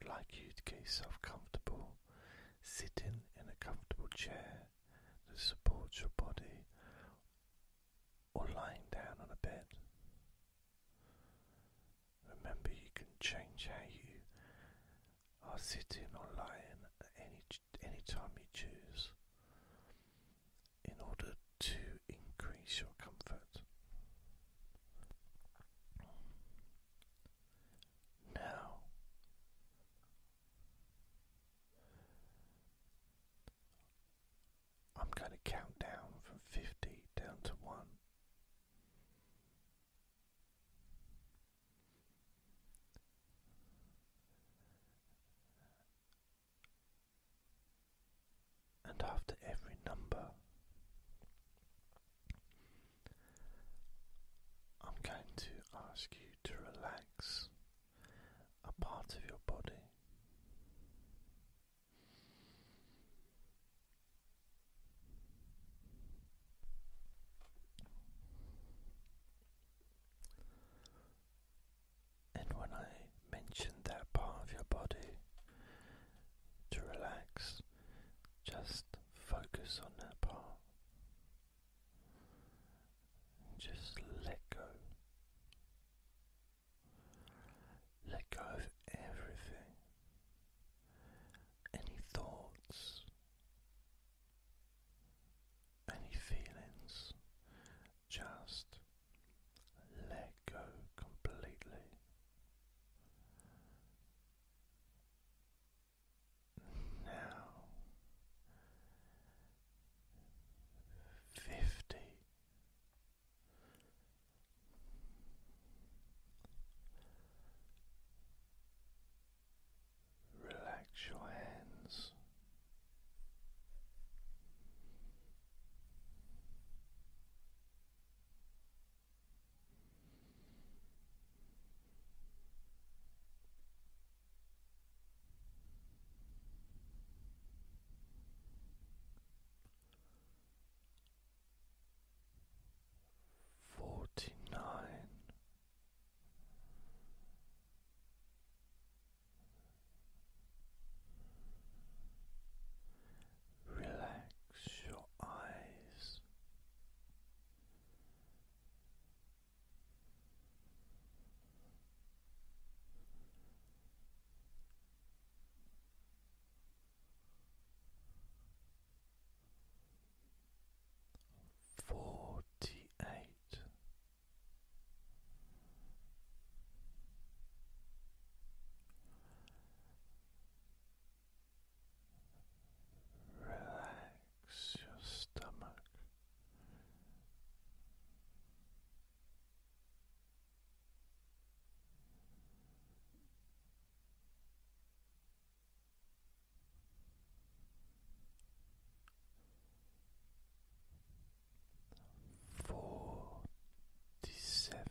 I'd like you to get yourself comfortable, sitting in a comfortable chair that supports your body, or lying down on a bed. Remember, you can change how you are sitting or lying at any any time you choose, in order to increase your comfort now. I'm going to count down from 50 down to 1. And after every number, I'm going to ask you to relax a part of your body. And when I mentioned that part of your body to relax, just focus on that part. Just let go. Let go of everything. Any thoughts, any feelings, just let go completely now fifty relax your hands Forty nine. Relax your eyes. Forty eight. Relax your stomach. Forty seven.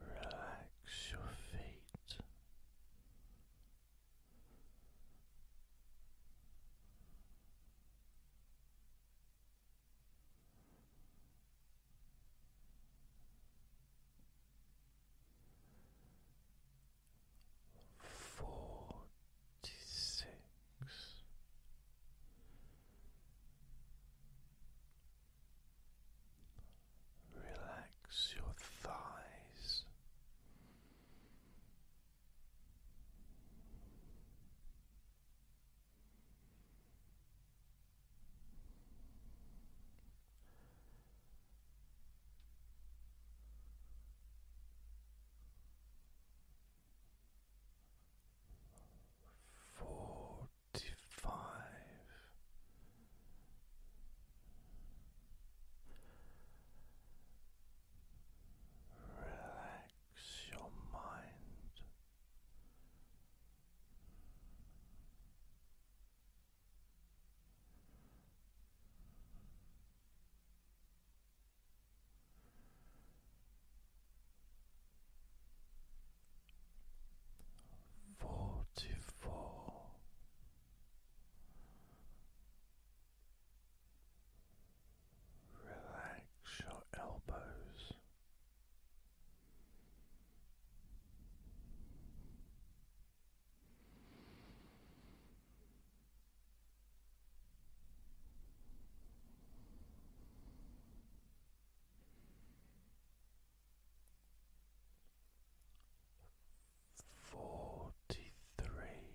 Relax your feet. Forty six. Relax your thighs forty five. Relax your mind forty four relax your elbows Forty three.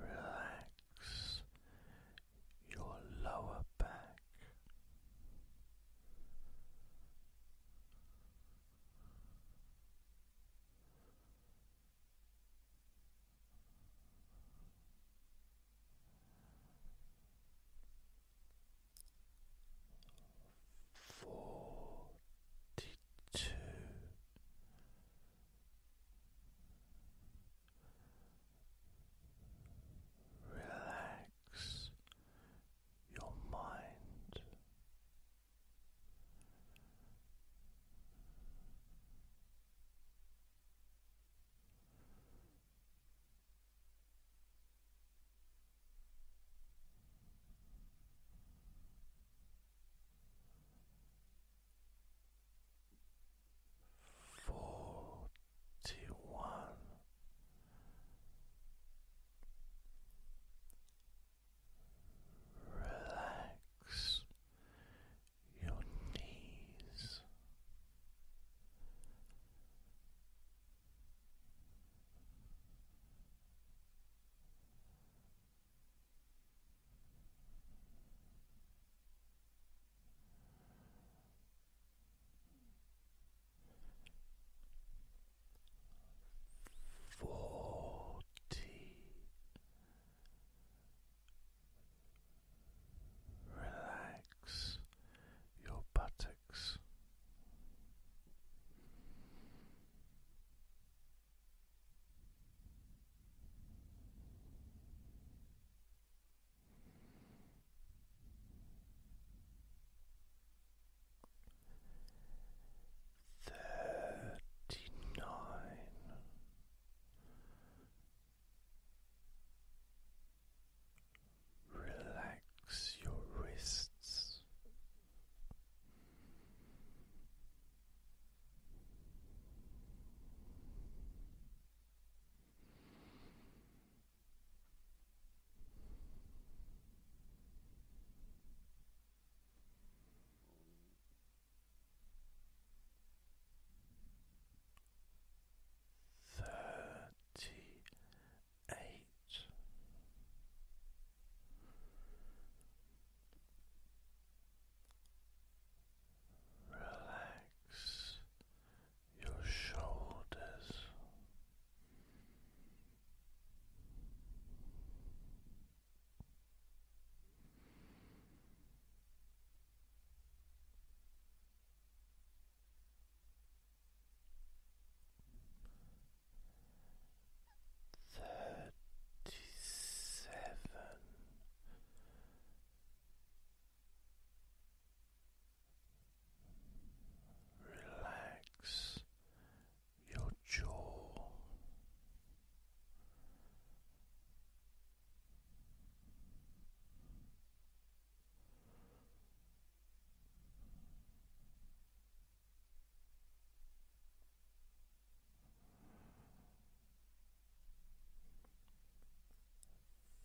Relax your lower back, Forty two. Relax your mind. Forty one Relax your knees forty relax your buttocks thirty nine. Relax your wrists. Thirty eight Relax your shoulders Thirty-seven Relax your jaw.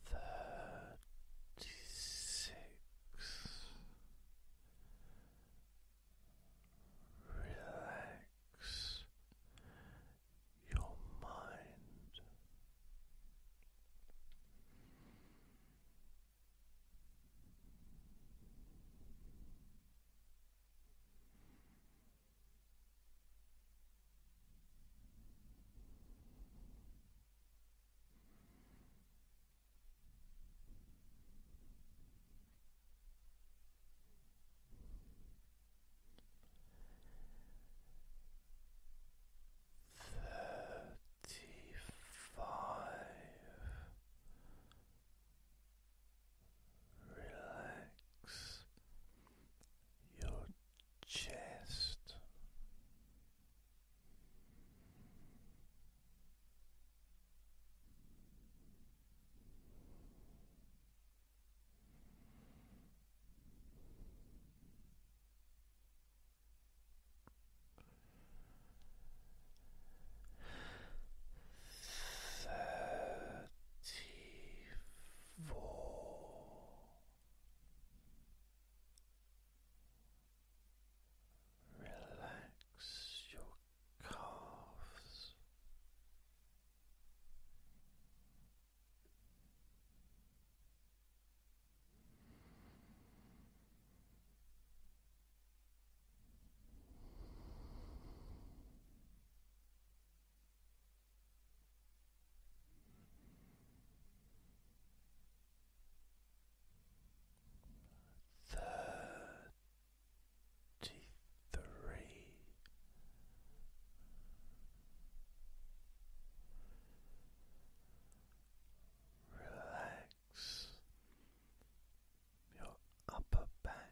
Thirty six. Relax your mind. Relax Thirty five relax your chest Thirty-four Relax your calves thirty three. Relax your upper back.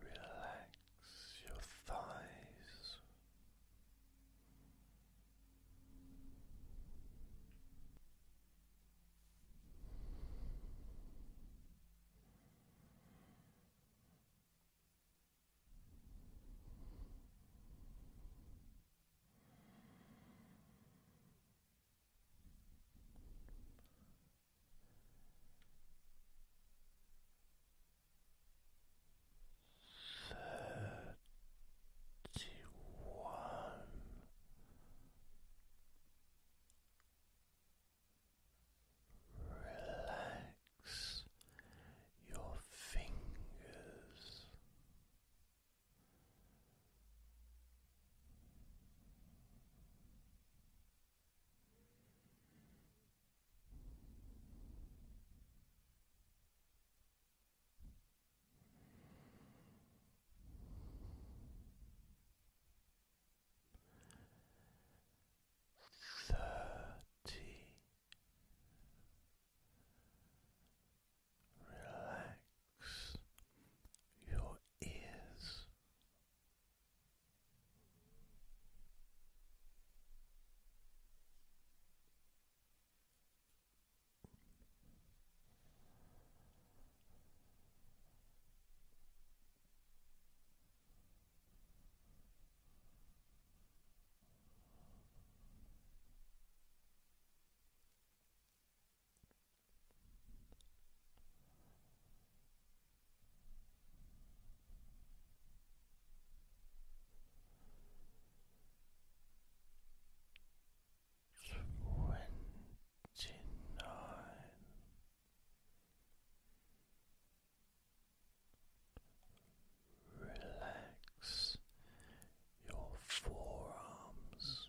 Relax your thighs. Thirty-one. Relax your fingers Thirty relax your ears. Twenty nine. Relax your forearms,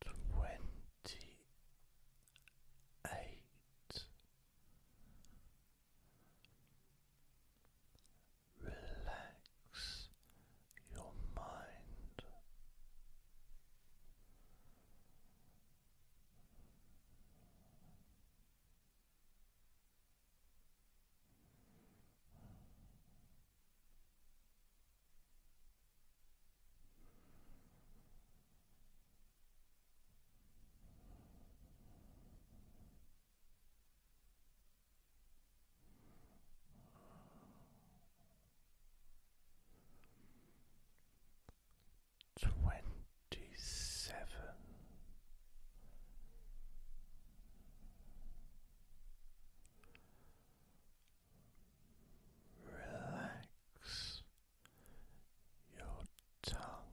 twenty eight relax your mind Twenty seven, Relax your tongue.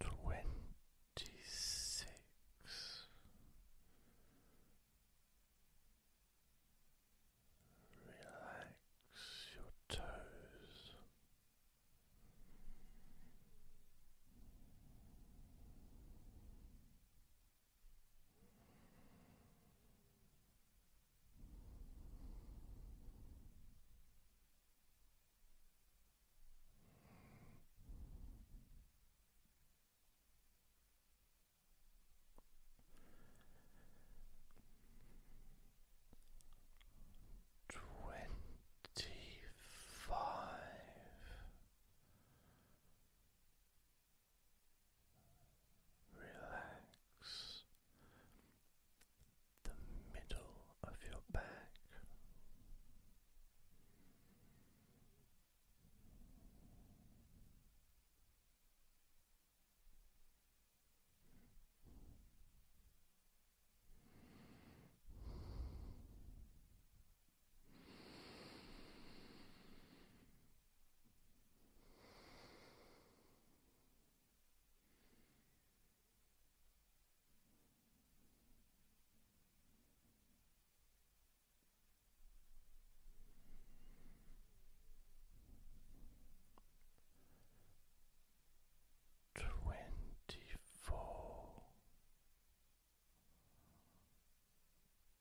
Twenty six Relax your toes. Twenty five. Relax the middle of your back. Twenty four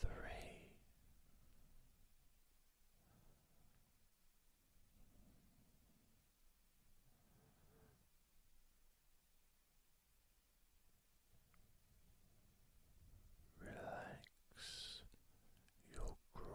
three. Relax your groin.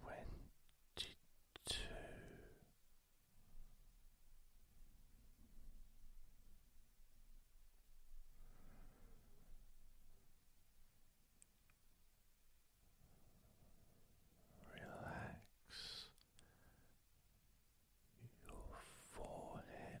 twenty two. Relax your forehead,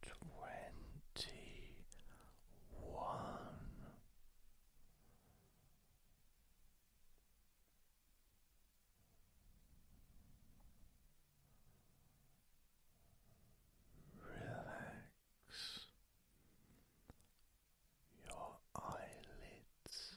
twenty one. Relax your eyelids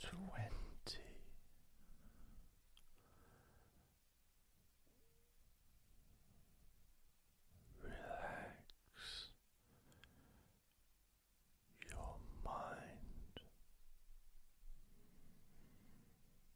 Twenty relax your mind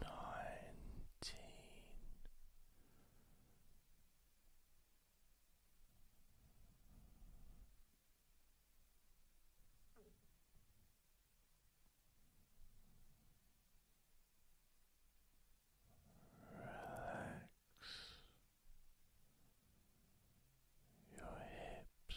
nineteen relax your hips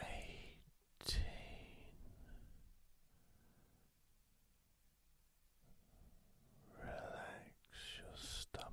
eighteen. Relax your stomach.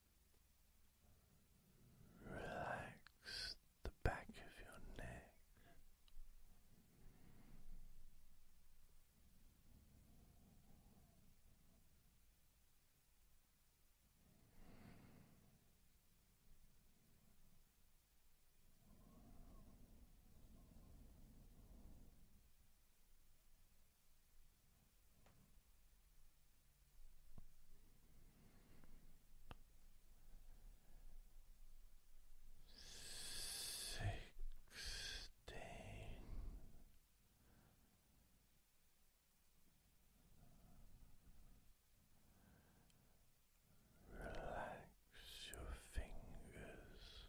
Relax the back of your neck. Sixteen. Relax your fingers.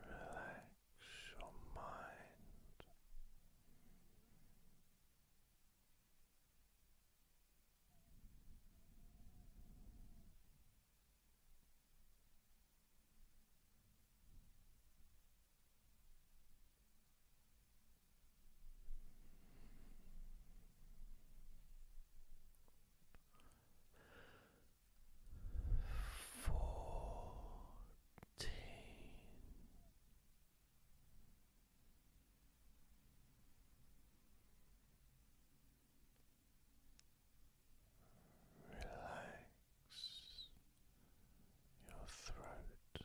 Relax your mind fourteen relax your throat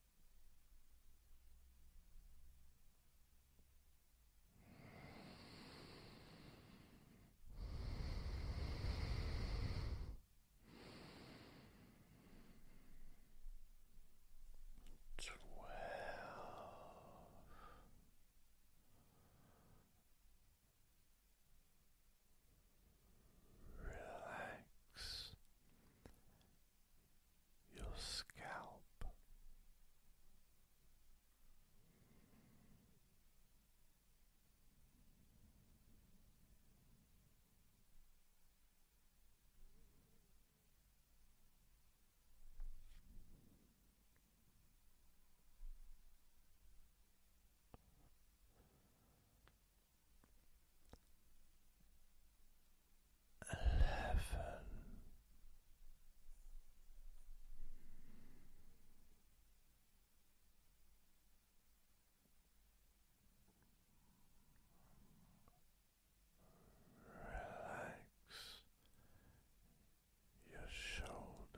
Twelve. Relax your scalp eleven. Relax your shoulders.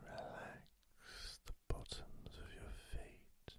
Relax the bottoms of your feet.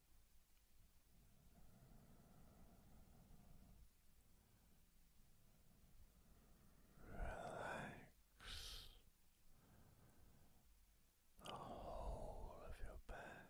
Relax the whole of your back.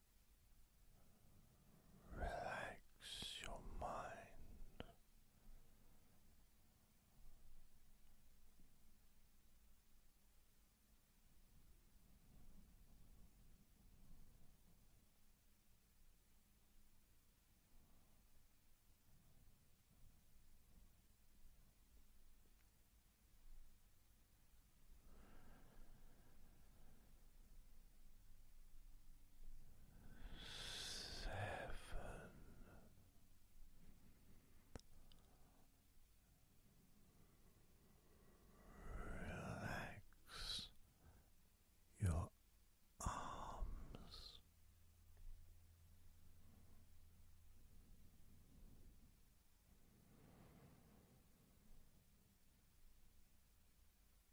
Relax your mind seven. Relax your arms. Six. Relax.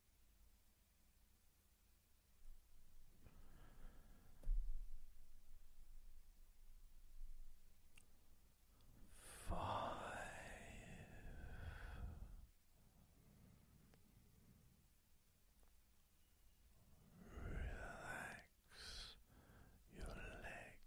Five. Relax your legs.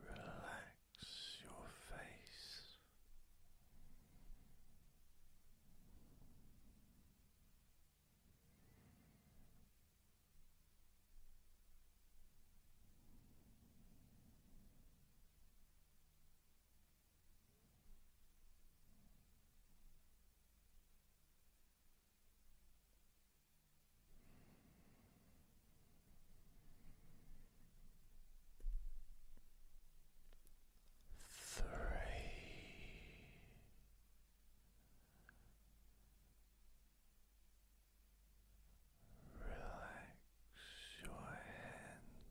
Relax your face. Three, relax your hands.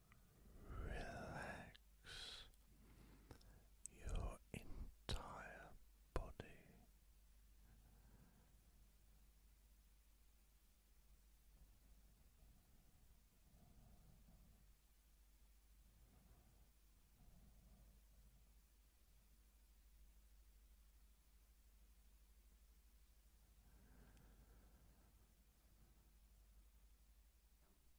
relax your entire body mind.